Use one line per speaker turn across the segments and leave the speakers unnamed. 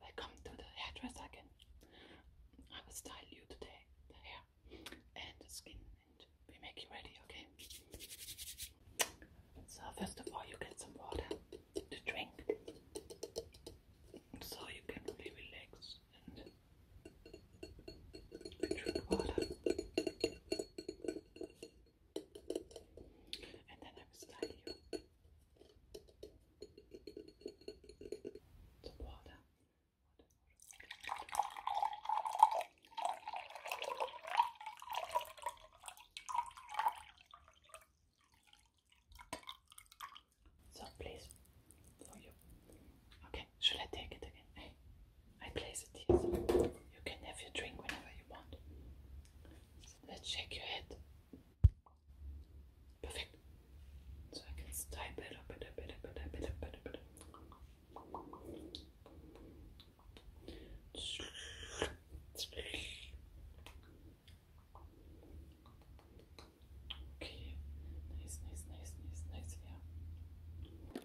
Welcome to the hairdresser again. I will style you today, the hair and the skin, and we make you ready, okay? So first of all, you get some water to drink, so you can really relax and drink water. And then I will style you. Water. Water, So please, for you. Okay, should I take it again? I place it here you can have your drink whenever you want. let's shake your head. Perfect. So I can style better, better, better, better, better, better, better. Okay, nice, nice, nice, nice, nice, yeah.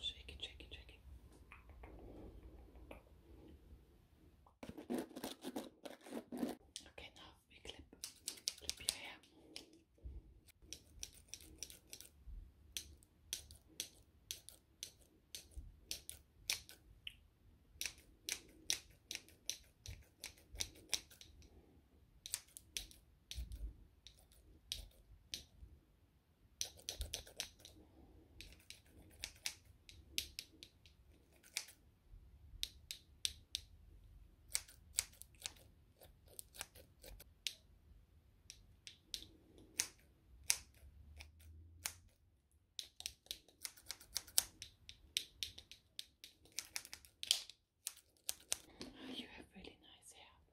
Shake it, shake it, shake it. Okay, now we clip, clip your hair. Oh, you have really nice hair.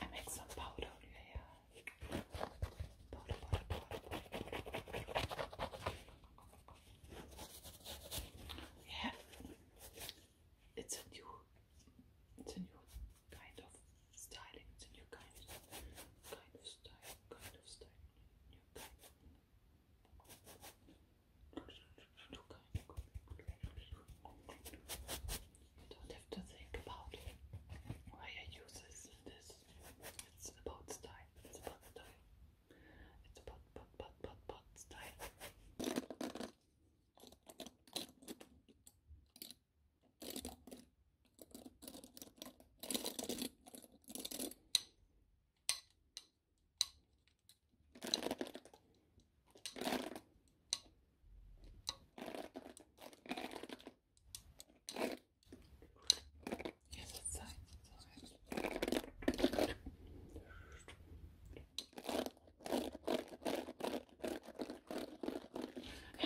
I Make some powder here. Powder, powder, powder, Yeah. It's a new it's a new kind of styling. It's a new kind of kind of style. Kind of style. New kind you don't have to think about why I use this. this. It's about style. It's about style. It's about, but, but, but, but style. And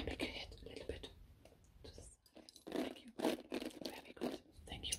make your head a little bit Thank you. Very good. Thank you.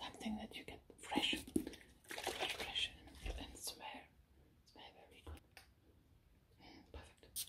Something that you get fresh, fresh, fresh, and, and smell, very mm, perfect.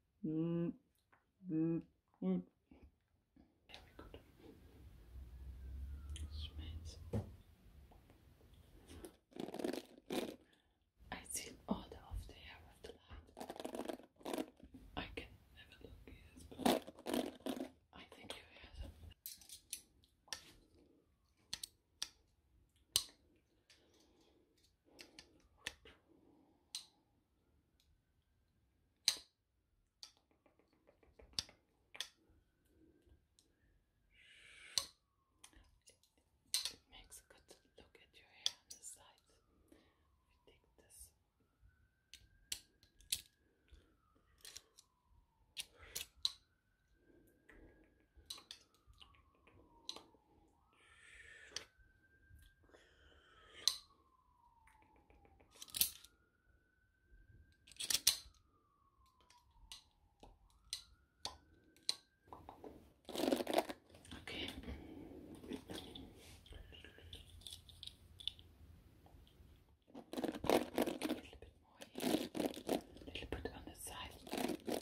Very good. I see all the of the of the light. I can never look I think you hear
it makes a good look at your hair on the side. take this. Okay. A little bit more on the side.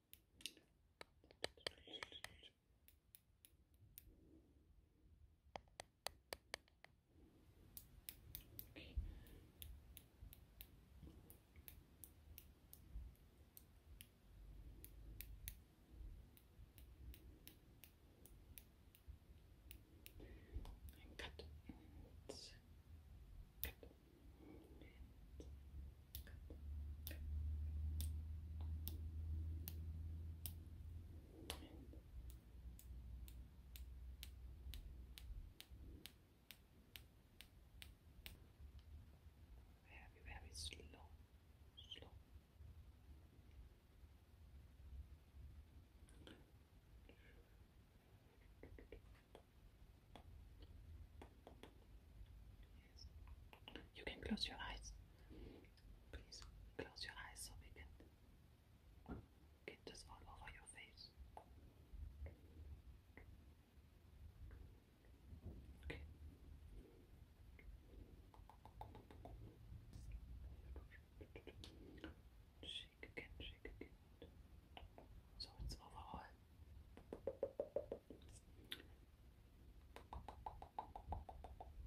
Okay. And cut. And cut. Very, very slow, slow. You can close your eyes. Please close your eyes so we can get this all over your face. Okay. Shake again, shake again. So it's overall all your face, all over your face. Over your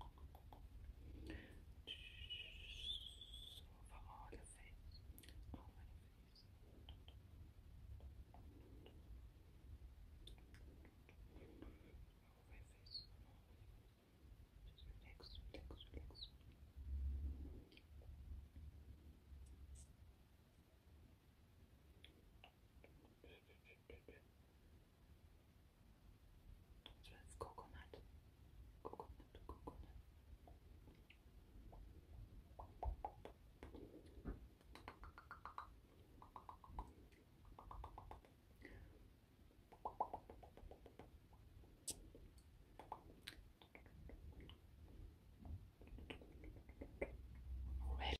face. Just relax, relax, relax. Relax, relax, relax. So it's coconut, coconut, coconut. Red.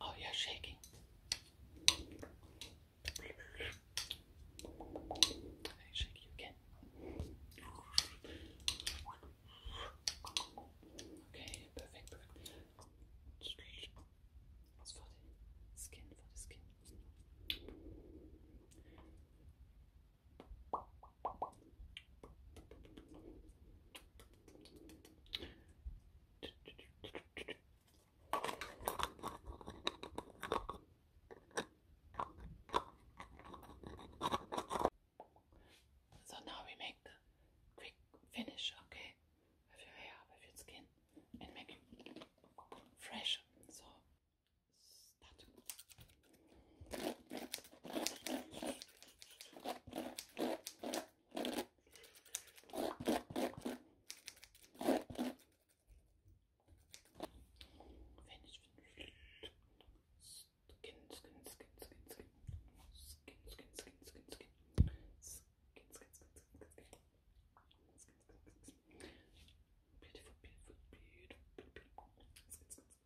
Oh, you're shaking. Okay, perfect, perfect.
It's for the skin, for the skin. So
now we make the quick finish, okay, with your hair, with your skin, and make it fresh. So Finish, finish. Skin, skin, skin, skin, skin. Skin, skin, skin, skin, skin. Skin, skin, skin, skin, skin. Beautiful, beautiful, beautiful, beautiful. Skin, skin, Oh,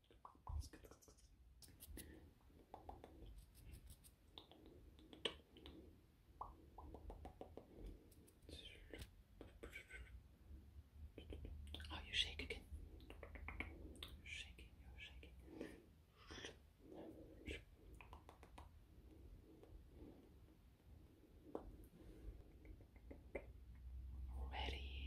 you shake Shaking, you're shaking. Ready.